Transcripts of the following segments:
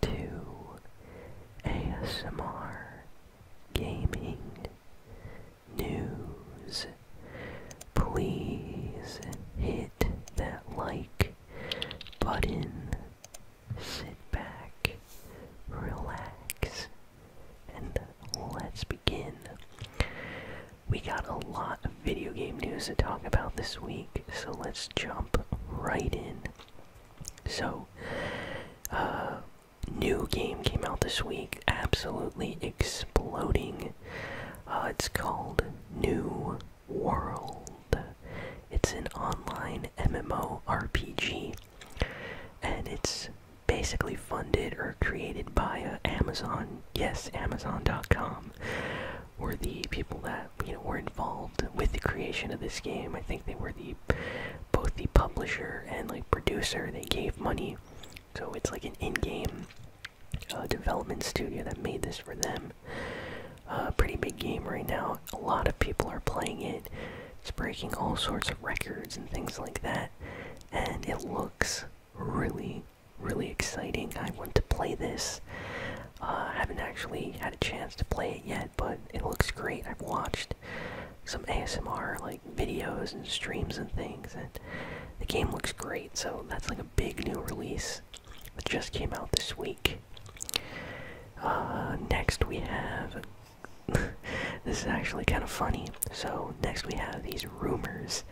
to ASMR gaming news. Please hit that like button. Sit back, relax, and let's begin. We got a lot of video game news to talk about this week, so let's jump right in. So, uh, new game came out this week, absolutely exploding. Uh, it's called New World. It's an online MMO RPG, and it's basically funded or created by uh, Amazon. Yes, Amazon.com, were the people that you know were involved with the creation of this game. I think they were the both the publisher and like producer. They gave money, so it's like an in-game uh, development studio that made this for them. A uh, pretty big game right now. A lot of people are playing it. It's breaking all sorts of records and things like that, and it looks really, really exciting. I want to play this. I uh, haven't actually had a chance to play it yet, but it looks great. I've watched some ASMR like videos and streams and things, and the game looks great. So that's like a big new release that just came out this week. Uh, next we have. this is actually kind of funny. So next we have these rumors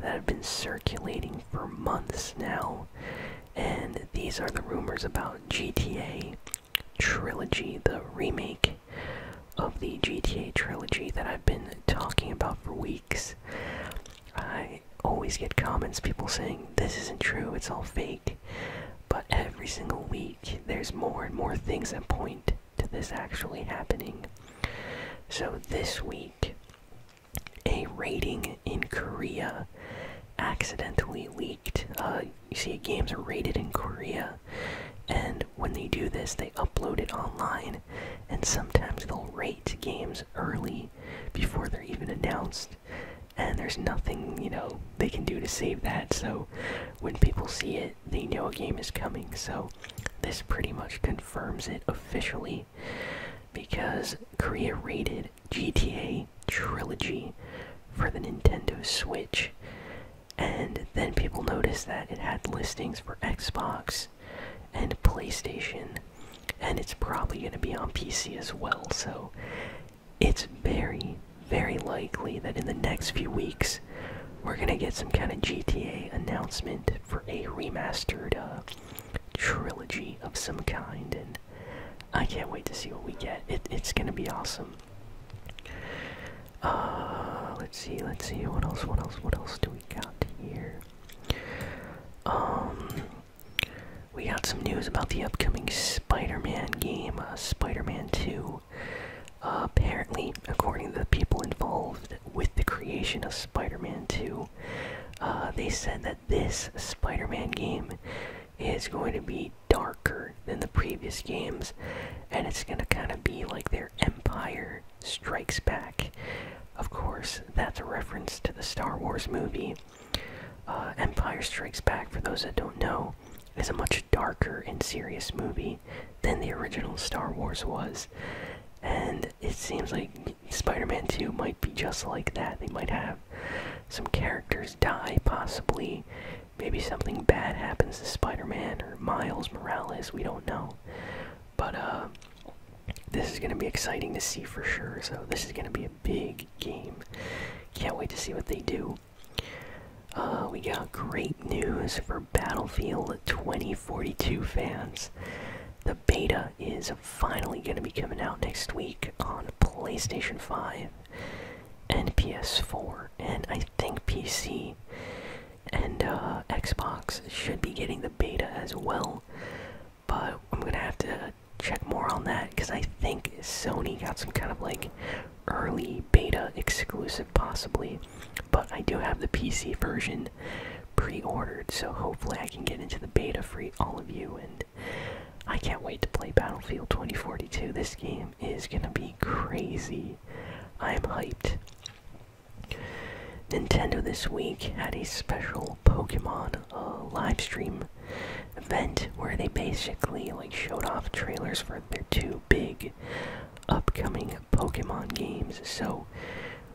that have been circulating for months now and these are the rumors about GTA Trilogy, the remake of the GTA Trilogy that I've been talking about for weeks. I always get comments, people saying, This isn't true, it's all fake. But every single week, there's more and more things that point to this actually happening. So this week, a rating in Korea accidentally leaked. Uh, you see, games are rated in Korea, and when they do this, they upload it online, and sometimes they'll rate games early before they're even announced. And there's nothing, you know, they can do to save that. So when people see it, they know a game is coming. So this pretty much confirms it officially because Korea rated GTA Trilogy for the Nintendo Switch, and then people noticed that it had listings for Xbox and PlayStation, and it's probably going to be on PC as well, so it's very, very likely that in the next few weeks we're going to get some kind of GTA announcement for a remastered uh, trilogy of some kind, and I can't wait to see what we get. it's gonna be awesome. Uh, let's see, let's see, what else, what else, what else do we got here? Um, we got some news about the upcoming Spider-Man game, uh, Spider-Man 2. Uh, apparently, according to the people involved with the creation of Spider-Man 2, uh, they said that this Spider Man game is going to be darker than the previous games, and it's going to kind of be like their Empire Strikes Back. Of course, that's a reference to the Star Wars movie. Uh, Empire Strikes Back, for those that don't know, is a much darker and serious movie than the original Star Wars was. And it seems like Spider-Man 2 might be just like that. They might have some characters die, possibly. Maybe something bad happens to Spider-Man or Miles Morales. We don't know. But uh, this is going to be exciting to see for sure. So this is going to be a big game. Can't wait to see what they do. Uh, we got great news for Battlefield 2042 fans beta is finally going to be coming out next week on PlayStation 5 and PS4, and I think PC and uh, Xbox should be getting the beta as well. But I'm going to have to check more on that because I think Sony got some kind of like early beta exclusive, possibly. But I do have the PC version pre-ordered, so hopefully I can get into the beta for all of you, and I can't wait to play Battlefield 2042. This game is gonna be crazy. I'm hyped. Nintendo this week had a special Pokemon uh, live stream event where they basically like showed off trailers for their two big upcoming Pokemon games. So,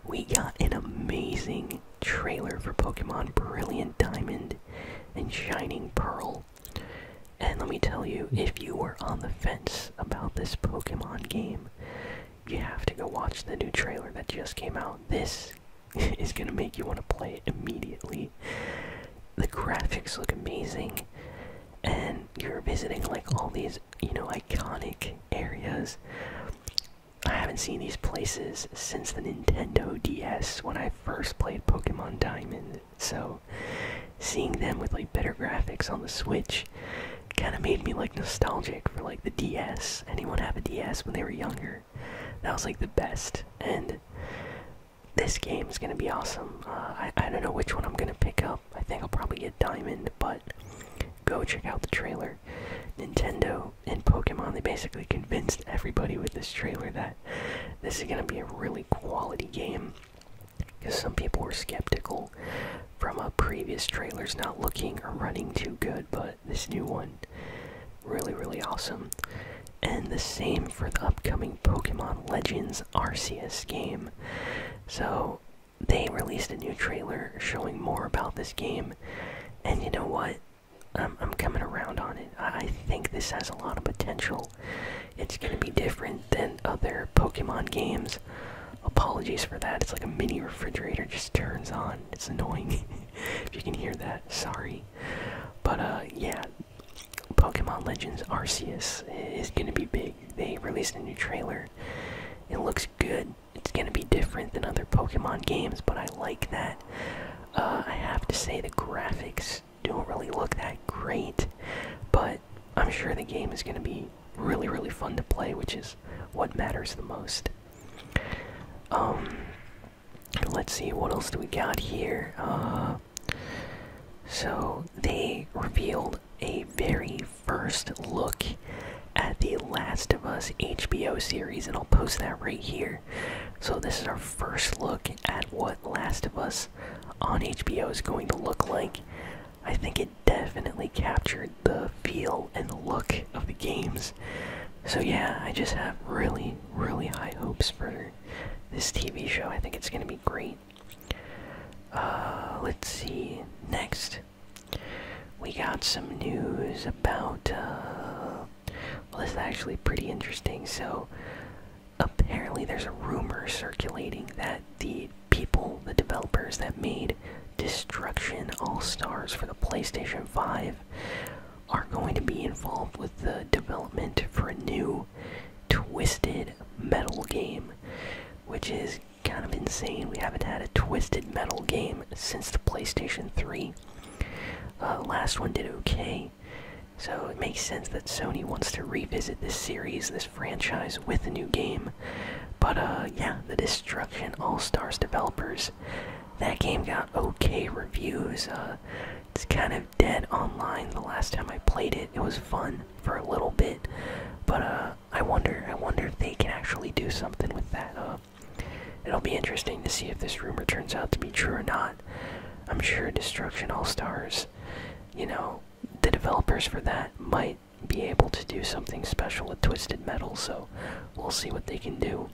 we got an amazing trailer for Pokemon Brilliant Diamond and Shining Pearl. And let me tell you, if you were on the fence about this Pokemon game, you have to go watch the new trailer that just came out. This is going to make you want to play it immediately. The graphics look amazing, and you're visiting like all these you know, iconic areas. I haven't seen these places since the Nintendo DS when I first played Pokemon Diamond, so seeing them with like better graphics on the Switch kind of made me like nostalgic for like the DS. Anyone have a DS when they were younger? That was like the best, and this game is gonna be awesome. Uh, I I don't know which one I'm gonna pick up. I think I'll probably get Diamond, but go check out the trailer. Nintendo and Pokemon, they basically convinced everybody with this trailer that this is going to be a really quality game. Because some people were skeptical from a previous trailer; it's not looking or running too good, but this new one, really, really awesome. And the same for the upcoming Pokemon Legends Arceus game. So, they released a new trailer showing more about this game, and you know what? Um, I'm coming around on it. I, I think this has a lot of potential. It's going to be different than other Pokemon games. Apologies for that. It's like a mini refrigerator just turns on. It's annoying. if you can hear that, sorry. But uh, yeah, Pokemon Legends Arceus is going to be big they released a new trailer. It looks good. It's gonna be different than other Pokemon games, but I like that. Uh, I have to say the graphics don't really look that great, but I'm sure the game is gonna be really really fun to play, which is what matters the most. Um, let's see what else do we got here. Uh, so they revealed a very first look at the Last of Us HBO series, and I'll post that right here. So, this is our first look at what Last of Us on HBO is going to look like. I think it definitely captured the feel and the look of the games. So, yeah, I just have really, really high hopes for this TV show. I think it's going to be great. Uh, let's see. Next, we got some news about. Uh, well, this is actually pretty interesting. So, apparently, there's a rumor circulating that the people, the developers that made Destruction All Stars for the PlayStation 5, are going to be involved with the development for a new Twisted Metal game, which is kind of insane. We haven't had a Twisted Metal game since the PlayStation 3. Uh, last one did okay, so it makes sense that Sony wants to revisit this series, this franchise, with a new game. But uh, yeah, the Destruction All Stars developers. That game got okay reviews. Uh, it's kind of dead online the last time I played it. It was fun for a little bit, but uh, I wonder, I wonder if they can actually do something with that. Uh, it'll be interesting to see if this rumor turns out to be true or not. I'm sure Destruction All Stars, you know, the developers for that might be able to do something special with Twisted Metal, so we'll see what they can do.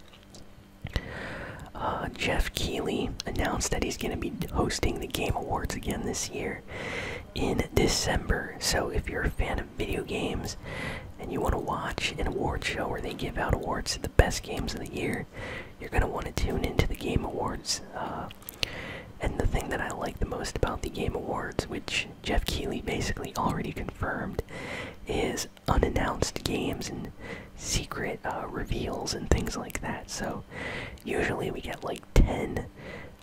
Uh, Jeff Keighley announced that he's going to be hosting the Game Awards again this year in December. So if you're a fan of video games and you want to watch an award show where they give out awards to the best games of the year, you're going to want to tune into the Game Awards. Uh, and the thing that I like the most about the Game Awards, which Jeff Keighley basically already confirmed, is unannounced games and secret uh, reveals and things like that. So usually we get like. 10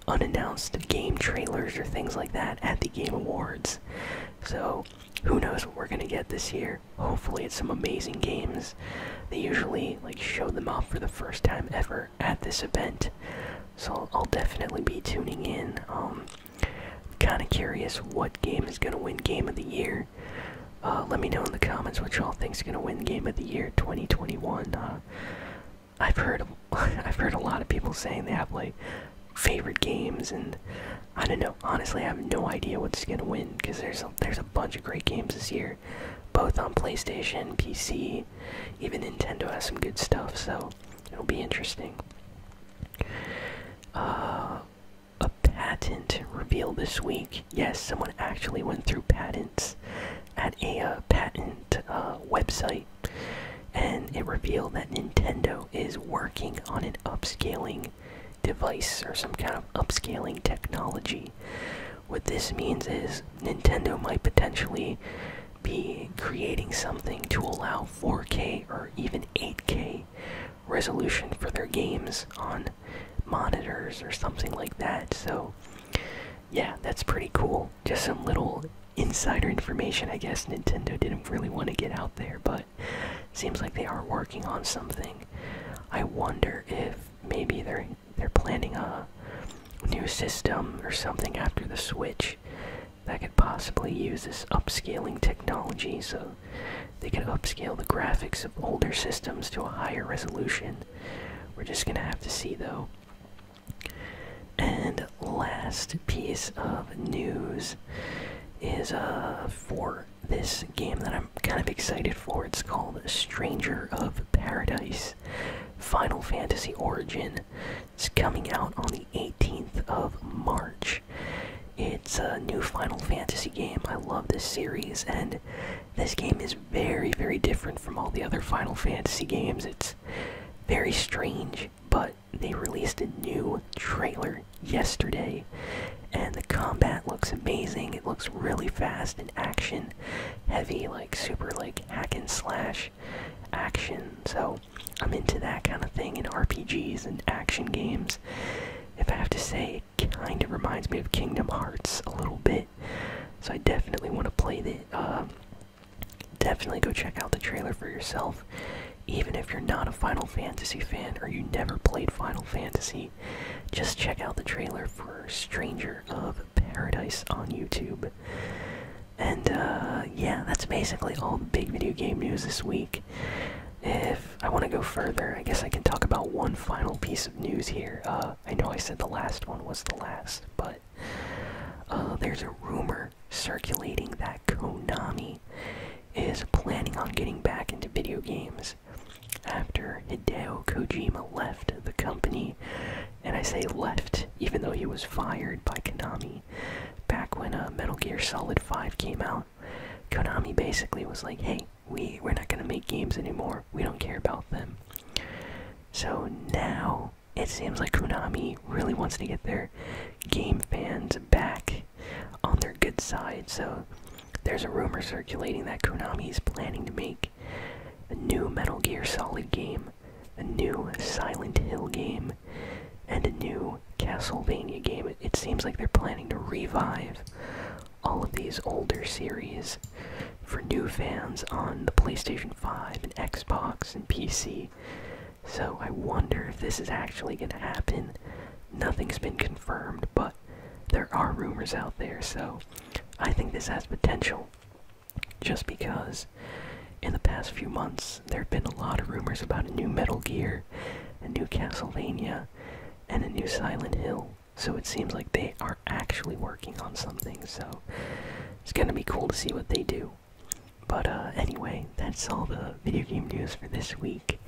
unannounced game trailers or things like that at the Game Awards. So, who knows what we're going to get this year? Hopefully, it's some amazing games. They usually like show them off for the first time ever at this event. So, I'll, definitely be tuning in. Um, kind of curious what game is going to win Game of the Year. Uh, let me know in the comments what y'all think's gonna win Game of the Year 2021. Uh, I've heard I've heard a lot of people saying they have like favorite games, and I don't know. Honestly, I have no idea what's gonna win because there's a, there's a bunch of great games this year, both on PlayStation, PC, even Nintendo has some good stuff. So it'll be interesting. Uh, a patent reveal this week Yes, someone actually went through patents at a uh, patent uh, website, and it revealed that Nintendo is working on an upscaling device or some kind of upscaling technology. What this means is Nintendo might potentially be creating something to allow 4K or even 8K resolution for their games on monitors or something like that. So, yeah, that's pretty cool. Just some little insider information, I guess. Nintendo didn't really want to get out there, but seems like they are working on something. I wonder if maybe they're they're planning a new system or something after the Switch that could possibly use this upscaling technology. So they can upscale the graphics of older systems to a higher resolution. We're just gonna have to see though. And last piece of news is uh, for this game that I'm kind of excited for. It's called Stranger of Paradise Final Fantasy Origin. It's coming out on the 18th of March. It's a new Final Fantasy game. I love this series and this game is very, very different from all the other Final Fantasy games. It's very strange, but they released a new trailer yesterday, and the combat looks amazing. It looks really fast and action heavy, like super, like hack and slash action. So I'm into that kind of thing in RPGs and action games. If I have to say, kind of reminds me of Kingdom Hearts a little bit. So I definitely want to play the. Uh, definitely go check out the trailer for yourself. Even if you're not a Final Fantasy fan or you never played Final Fantasy, just check out the trailer for Stranger of Paradise on YouTube. And uh, yeah, that's basically all the big video game news this week. If I want to go further, I guess I can talk about one final piece of news here. Uh, I know I said the last one was the last, but uh, there's a rumor circulating that Konami is planning on getting back into video games after Hideo Kojima left the company. And I say left, even though he was fired by Konami back when uh, Metal Gear Solid 5 came out. Konami basically was like, hey, we we are not gonna make games anymore. We don't care about them. So now it seems like Konami really wants to get their game fans back on their good side. So there's a rumor circulating that Konami is planning to make a new Metal Gear Solid game, a new Silent Hill game, and a new Castlevania game. It, seems like they're planning to revive all of these older series for new fans on the PlayStation 5 and Xbox and PC. So I wonder if this is actually going to happen. Nothing's been confirmed, but there are rumors out there, so I think this has potential. Just because in the past few months there have been a lot of rumors about a new Metal Gear, and new Castlevania, and a new Silent Hill. So it seems like they are actually working on something, so it's gonna be cool to see what they do. But uh, anyway, that's all the video game news for this week.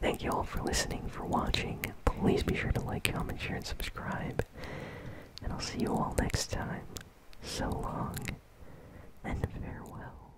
Thank you all for listening, for watching. Please be sure to like, comment, share, and subscribe. And I'll see you all next time. So long, and farewell.